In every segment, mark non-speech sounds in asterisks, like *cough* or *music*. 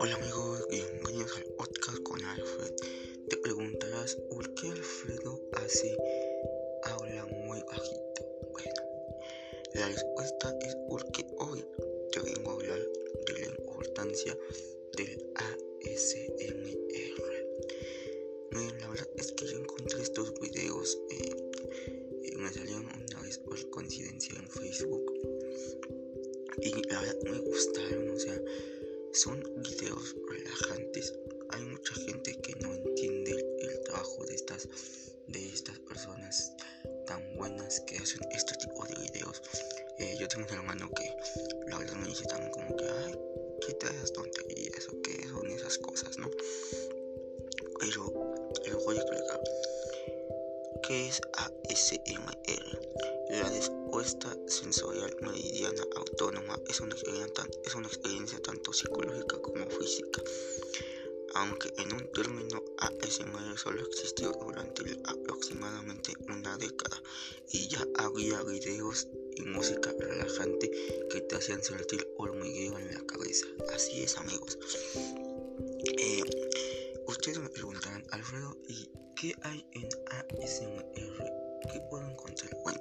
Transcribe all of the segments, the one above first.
Hola amigos, bienvenidos al podcast con Alfred. Te preguntarás por qué Alfredo hace habla muy bajito. Bueno, la respuesta es porque hoy te vengo a hablar de la importancia del ASMR. Eh, la verdad es que yo encontré estos videos, eh, eh, me salieron una vez por coincidencia en Facebook y la verdad me gustaron, o sea, son videos relajantes. Hay mucha gente que no entiende el, trabajo de estas, de estas personas tan buenas que hacen este tipo de videos. yo tengo un hermano que la verdad me dice también como que, ay, te esas tonterías o que son esas cosas, ¿no? pero les voy a explicar. ¿Qué es ASMR? La respuesta sensorial meridiana autónoma es una experiencia, es una experiencia tanto psicológica como física aunque en un término ASMR solo existió durante aproximadamente una década y ya había videos y música relajante que te hacían sentir hormigueo en la cabeza. Así es, amigos. Eh, ustedes me preguntarán, Alfredo, ¿y qué hay en ASMR? ¿Qué puedo encontrar? Bueno,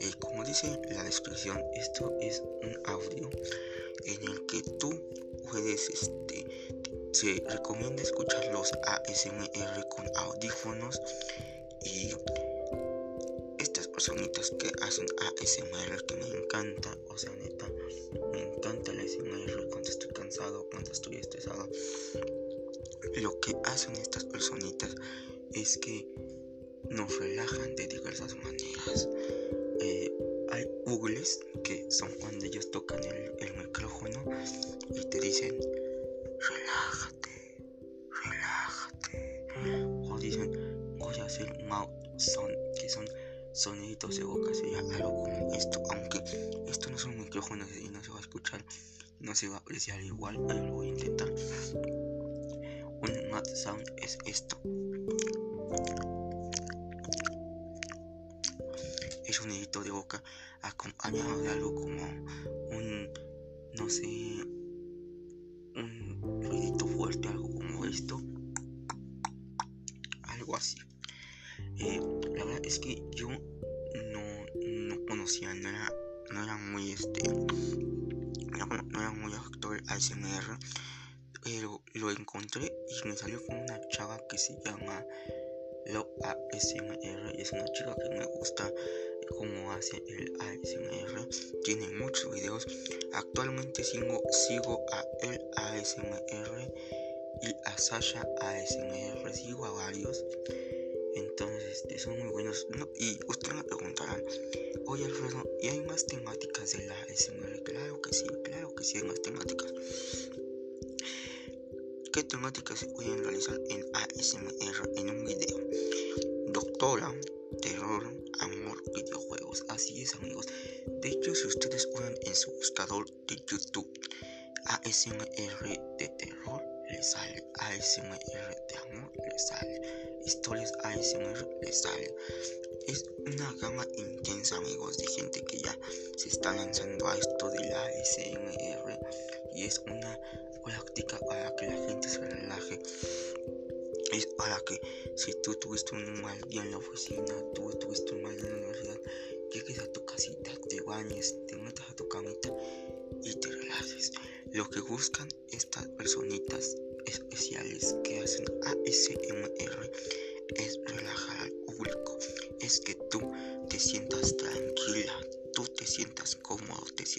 eh, como dice la descripción, esto es un audio en el que tú puedes, este, se recomienda escuchar los ASMR con audífonos y estas personitas que hacen ASMR que me encanta, o sea, neta, me encanta la ASMR cuando estoy cansado, cuando estoy estresado. Lo que hacen estas personitas es que nos relajan de diversas maneras. Eh, hay googles que son cuando ellos tocan el micrófono y te dicen, relájate, relájate. O dicen, voy a hacer mouth sound, que son sonidos de boca, sería algo como esto, aunque esto no son micrófonos y no se va a escuchar, no se va a apreciar igual, pero lo voy a intentar. Un mouth sound es esto. Es un hito de boca acompañado de algo como un, no sé, un ruidito fuerte, algo como esto, algo así. Eh, la verdad es que yo no, conocía, no era, no era muy este, no, era muy actor ASMR, pero lo encontré y me salió con una chava que se llama Lo ASMR y es una chica que me gusta como hace el ASMR. Tiene muchos videos. Actualmente sigo, a el ASMR y a Sasha ASMR. Sigo a varios. Entonces, este, son muy buenos. y usted me preguntarán, oye Alfredo, ¿y hay más temáticas del la ASMR? Claro que sí, claro que sí hay más temáticas. ¿Qué temáticas se pueden realizar en ASMR en un video? Doctora, terror, amor, videojuegos. Así es, amigos. De hecho, si ustedes unen en su buscador de YouTube ASMR de terror, les sale. ASMR de amor, les sale. Historias ASMR, les sale. Es una gama intensa, amigos, de gente que ya se está lanzando a esto de la ASMR. Y es una práctica para que la gente se relaje es para que si tú tuviste un mal día en la oficina, tú tuviste un mal día en la universidad, llegues a tu casita, te bañes, te metas a tu camita y te relajes. Lo que buscan estas personitas especiales que hacen ASMR es relajar al público, es que tú te sientas tranquila, tú te sientas cómodo, te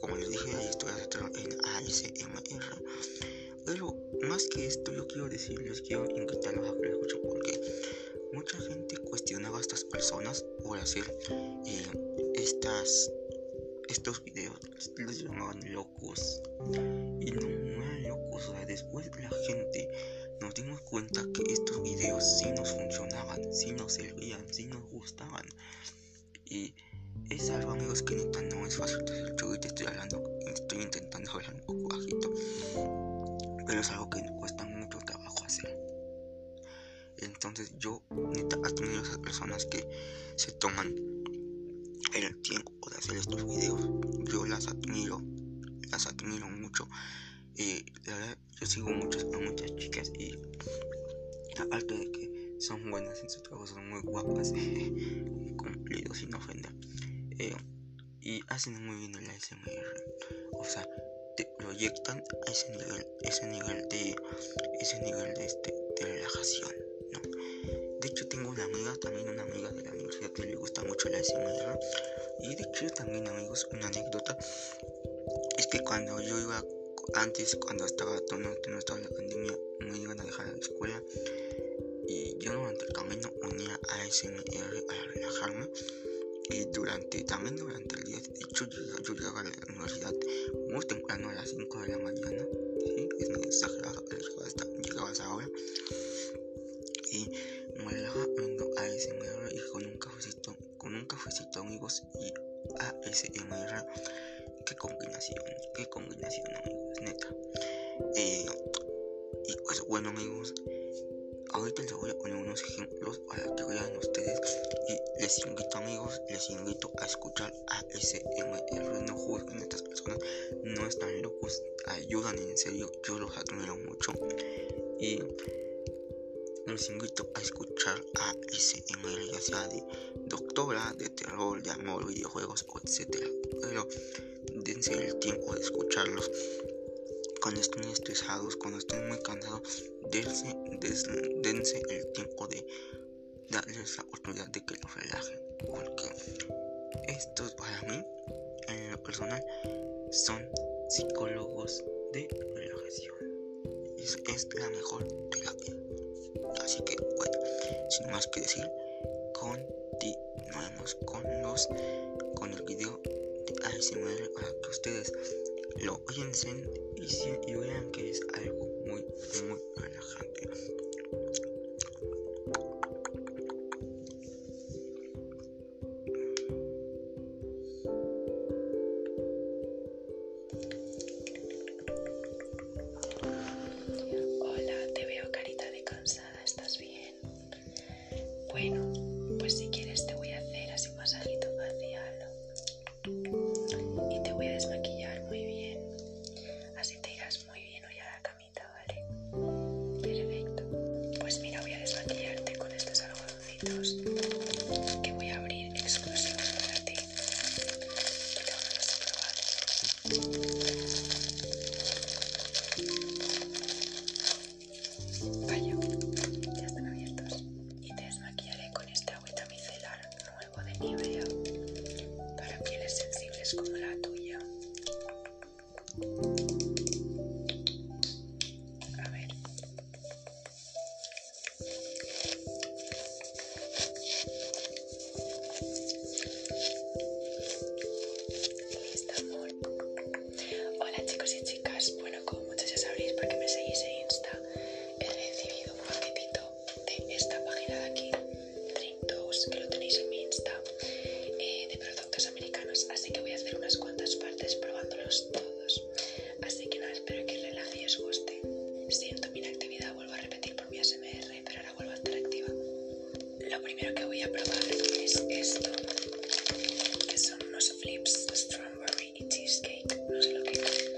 como les dije, estoy en ASMR. Pero más que esto, yo quiero decirles, quiero invitarlos a que lo escuchen porque mucha gente cuestionaba a estas personas por hacer eh, estas, estos videos. Los llamaban locos. Y no, eran locos. O sea, después la gente nos dimos cuenta que estos videos sí nos funcionaban, sí nos servían, sí nos gustaban. Y es algo, amigos, que neta no es fácil Yo el estoy hablando, estoy intentando hablar un poco bajito. Pero es algo que cuesta mucho trabajo hacer. Entonces yo, neta, admiro a esas personas que se toman el tiempo de hacer estos videos. Yo las admiro, las admiro mucho. y la verdad, yo sigo muchas, muchas chicas y aparte de que son buenas en su trabajo, son muy guapas, *laughs* cumplidos sin ofender. Eh, y hacen muy bien el SMR O sea, te proyectan a ese nivel, ese nivel de ese nivel de, este, de relajación. De hecho tengo una amiga, también una amiga de la universidad que le gusta mucho la SMR Y de hecho también amigos, una anécdota es que cuando yo iba antes cuando estaba todo no, que no estaba en la pandemia me iban a dejar la escuela y yo durante el camino unía a SMR a relajarme y durante también durante el día de hecho yo, llegaba a la universidad muy temprano a las 5 de la mañana es muy exagerado pero hasta, llegaba ahora y me relajaba viendo SMR y con un cafecito con un cafecito amigos y ASMR. Qué combinación, qué combinación, amigos, neta. Eh, y pues bueno, amigos, ahorita les voy a poner unos ejemplos para que vean ustedes. Y les invito, amigos, les invito a escuchar ASMR. No juzguen con estas personas, no están locos, ayudan en serio. Yo los admiro mucho. Y les invito a escuchar a ya sea de doctora, de terror, de amor, videojuegos, Etcétera Pero dense el tiempo de escucharlos. Cuando estén estresados, cuando estén muy cansados, dense, dense el tiempo de darles la oportunidad de que los relajen. Porque estos para mí, en lo personal, son psicólogos de relajación. Es, es la mejor terapia. Así que, bueno, sin más que decir, continuamos con los con el video de ASMR para que ustedes lo oyen y, y vean que es algo muy, muy relajante. Hola, te veo carita de cansada, ¿estás bien? Bueno, pues si quieres te voy a hacer así un masajito facial y te voy a desmaquillar muy bien. Así te irás muy bien hoy a la camita, ¿vale? Perfecto. Pues mira, voy a desmaquillarte con estos algodoncitos que voy a abrir exclusivamente para ti y Vaya, ya están abiertos. Y te desmaquillaré con este agüita micelar nuevo de Nivea para pieles sensibles como la tuya. A ver, Hola chicos y chicas. Bueno, como muchas ya sabréis porque me seguís en Insta, he recibido un paquetito de esta página de aquí, Dose, que lo tenéis en mi Insta, eh, de productos americanos. Así que voy a hacer unas cuantas partes probándolos todos. Así que nada, espero que relaje y os guste. Siento mi inactividad, vuelvo a repetir por mi SMR, pero ahora vuelvo a estar activa. Lo primero que voy a probar es esto, que son unos flips strawberry y cheesecake. No sé lo que es,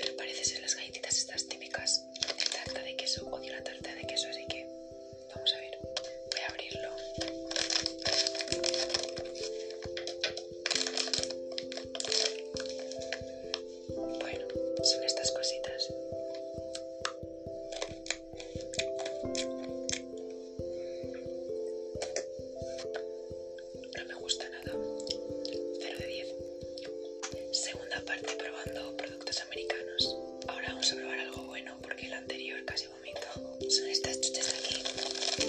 pero parece ser las galletitas estas típicas de tarta de queso. Odio la tarta de queso, así que vamos a ver. Voy a abrirlo. Bueno, son estas cositas. No me gusta nada. 0 de 10. Segunda parte probando productos americanos. Ahora vamos a probar algo bueno porque el anterior casi vomito. Son estas chuches de aquí.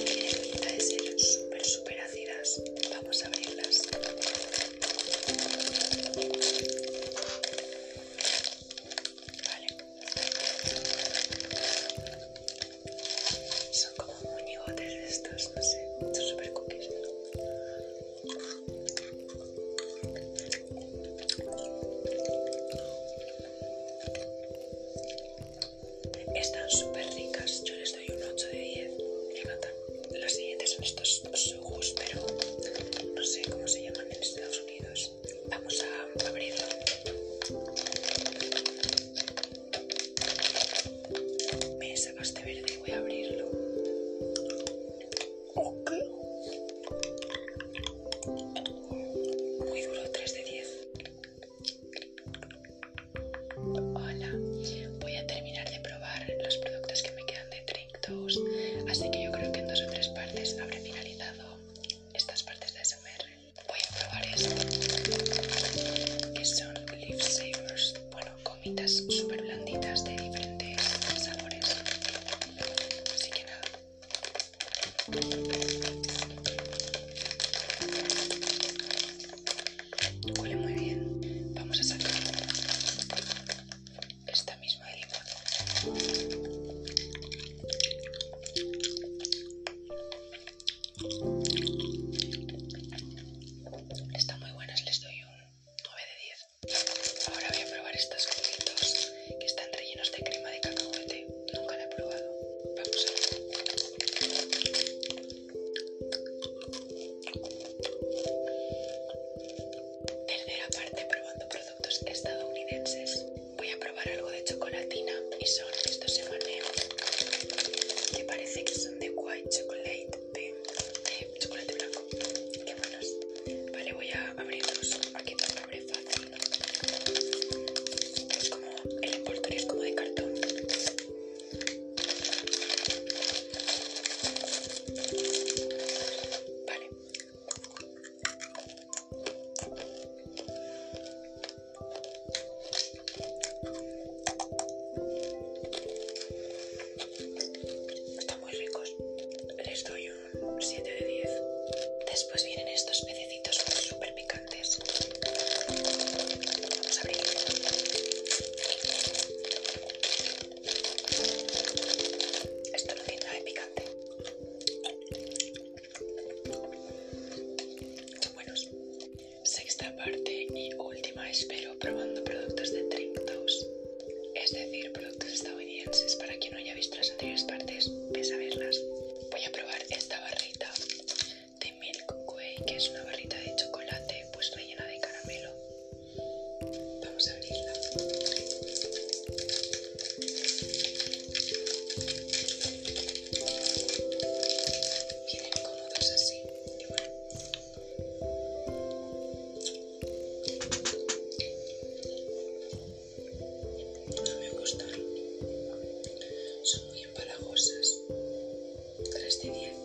Tienen super súper, súper ácidas. Vamos a abrirlas. Son como de estos, no sé. Son super cookies. Están súper ricas, yo y un 8 de 10. Me encantan. Los siguientes son estos ojos, pero no sé cómo se llaman en Estados Unidos. Vamos a abrirlo. Me sacaste verde, voy a abrirlo. Muy duro, 3 de 10. Hola, voy a terminar de probar los productos que me quedan de Trick así que yo creo que en dos o tres partes habré finalizado estas partes de SMR. Voy a probar esto, que son Leaf Savers, bueno, gomitas súper blanditas de diferentes sabores. Así que nada. Huele muy bien. Vamos a sacar esta misma limón. Están muy buenas, les doy un 9 de 10. Ahora voy a probar estos copitos que están rellenos de crema de cacahuete. Nunca la he probado. Vamos a ver. Tercera parte probando productos estadounidenses. Voy a probar algo de chocolatina y son estos M&M's que parece que son de white chocolate, de, chocolate blanco. Qué buenos. Vale, voy a abrirlos. Aquí todo abre fácil. Es como el envoltorio es como de cartón. Vale. Están muy ricos. Les doy un 7 de 10. Después vienen estos pececitos súper picantes. Esto no tiene nada de picante. Sexta parte y última, espero, probando productos de Trinktos. Es decir, productos estadounidenses. Para quien no haya visto las anteriores partes, pese a verlas. Voy a probar esta barrita de Milk Way, que es una barrita de chocolate pues rellena de caramelo. Vamos a abrirla. Vienen cómodas así. Y bueno. No me gustan. Son muy empalagosas. 3 de 10.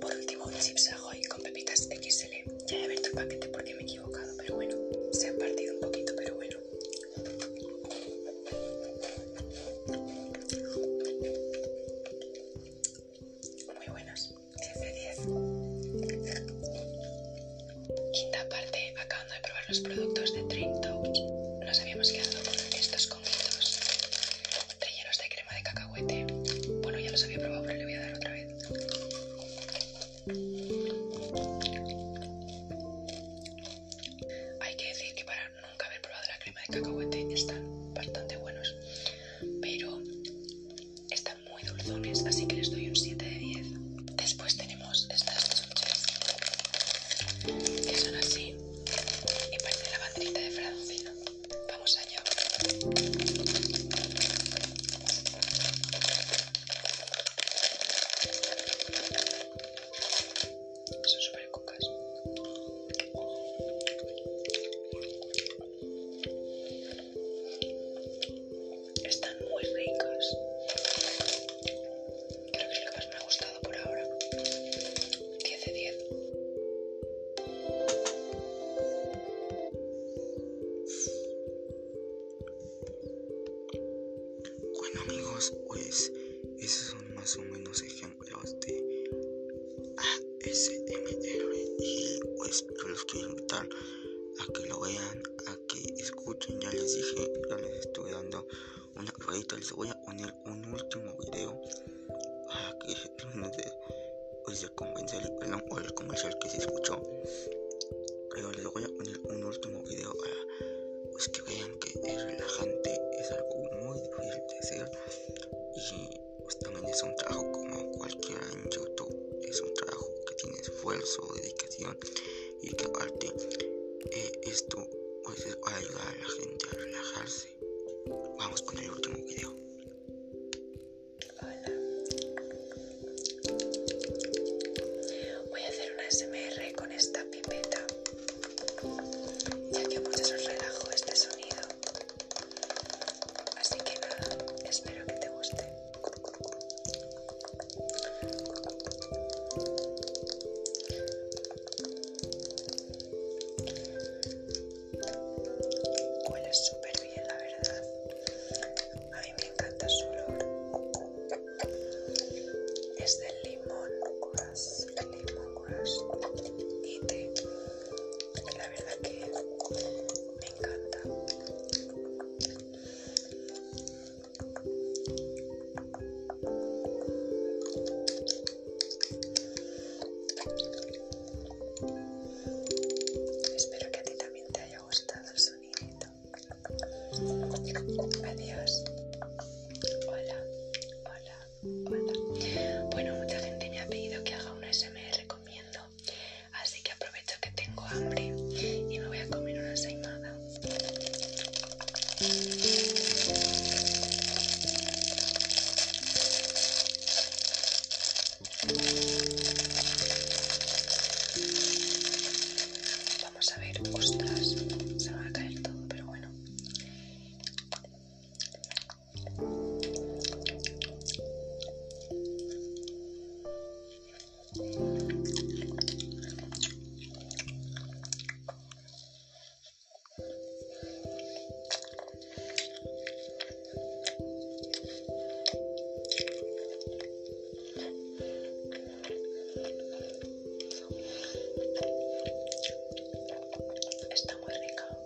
Por último, chips Ahoy con pepitas XL. Ya he abierto el paquete porque me he equivocado, pero bueno, se han partido un poquito, pero bueno. Muy buenas, 10 de 10. Quinta parte, acabando de probar los productos de Dream Toast. Nos habíamos quedado con estos conguitos rellenos de crema de cacahuete. Bueno, ya los había probado, pero le voy a dar otra vez. Hay que decir que para nunca haber probado la crema de cacahuete están bastante buenos, pero están muy dulzones, así que les doy un 7 de 10. Después tenemos estas chuches, que son así y parece la banderita de Francia. Vamos allá. Son súper Están muy ricas. Creo que es lo que más me ha gustado por ahora. 10 de 10. Bueno amigos, pues esos son más o menos ejemplos de ASMR y pues yo los quiero invitar a que lo vean, a que escuchen, ya les dije, ya les estoy dando una ruedita, les voy a poner un último video para ah, que realmente *laughs* de sea, pues, el, perdón, o el comercial que se escuchó. Pero les voy a poner un último video para pues, que vean que es relajante, es algo muy difícil de hacer y pues también es un trabajo como cualquiera en YouTube, es un trabajo que tiene esfuerzo, dedicación y que aparte eh, esto pues, ayudar a la gente a relajarse. Vamos con el último video. Hola. Voy a hacer una SMR con esta pipeta. Ya que mucho os relajo este sonido. Así que espero que te guste. Huele súper bien, la verdad. A mí me encanta su olor. Es de limón grass, limón y té. La verdad que me encanta. Espero que a ti también te haya gustado el sonidito. Adiós. Hola, hola, hola. Bueno, mucha gente me ha pedido que haga un SMR comiendo, así que aprovecho que tengo hambre y me voy a comer una saimada Vamos a ver, ostras, se va a caer todo, pero bueno. Está muy rica.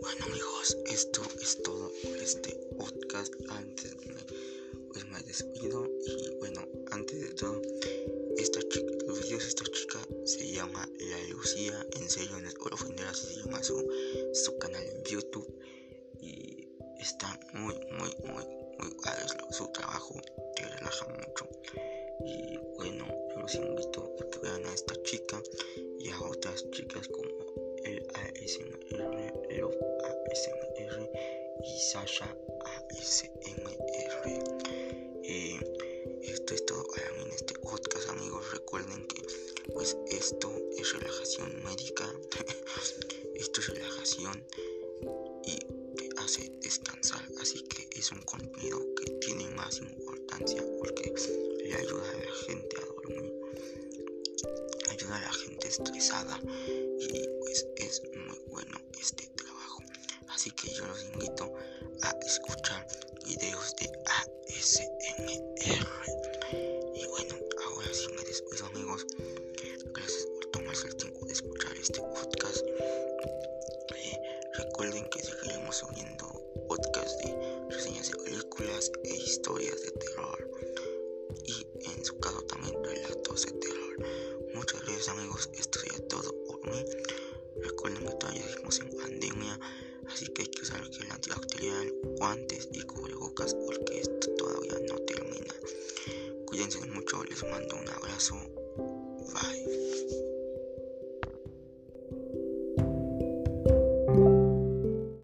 Bueno amigos, esto es todo por este podcast. Antes es pues más me despido y bueno antes de todo esta chica los vídeos de esta chica se llama la Lucía en serio en el se llama su, canal en YouTube y está muy muy muy muy guay su trabajo te relaja mucho y bueno yo los invito a que vean a esta chica y a otras chicas como el ASMR ASMR y Sasha ASMR. Eh, esto es todo en este podcast, amigos. Recuerden que pues esto es relajación médica. *laughs* esto es relajación y te hace descansar. Así que es un contenido que tiene más importancia porque le ayuda a la gente a dormir. Ayuda a la gente estresada y pues es muy bueno este trabajo. Así que yo los invito a escuchar videos de ASMR. Y bueno, ahora sí me despido amigos. Gracias por tomarse el tiempo de escuchar este podcast. Eh, recuerden que seguiremos subiendo podcast de reseñas películas e historias de terror y en su caso también relatos de terror. Muchas gracias amigos, esto sería todo por mí. Recuerden que todavía estamos en pandemia, así que hay que usar el antibacterial, guantes y cubrebocas porque esto todavía no termina. Cuídense mucho, les mando un abrazo. Bye.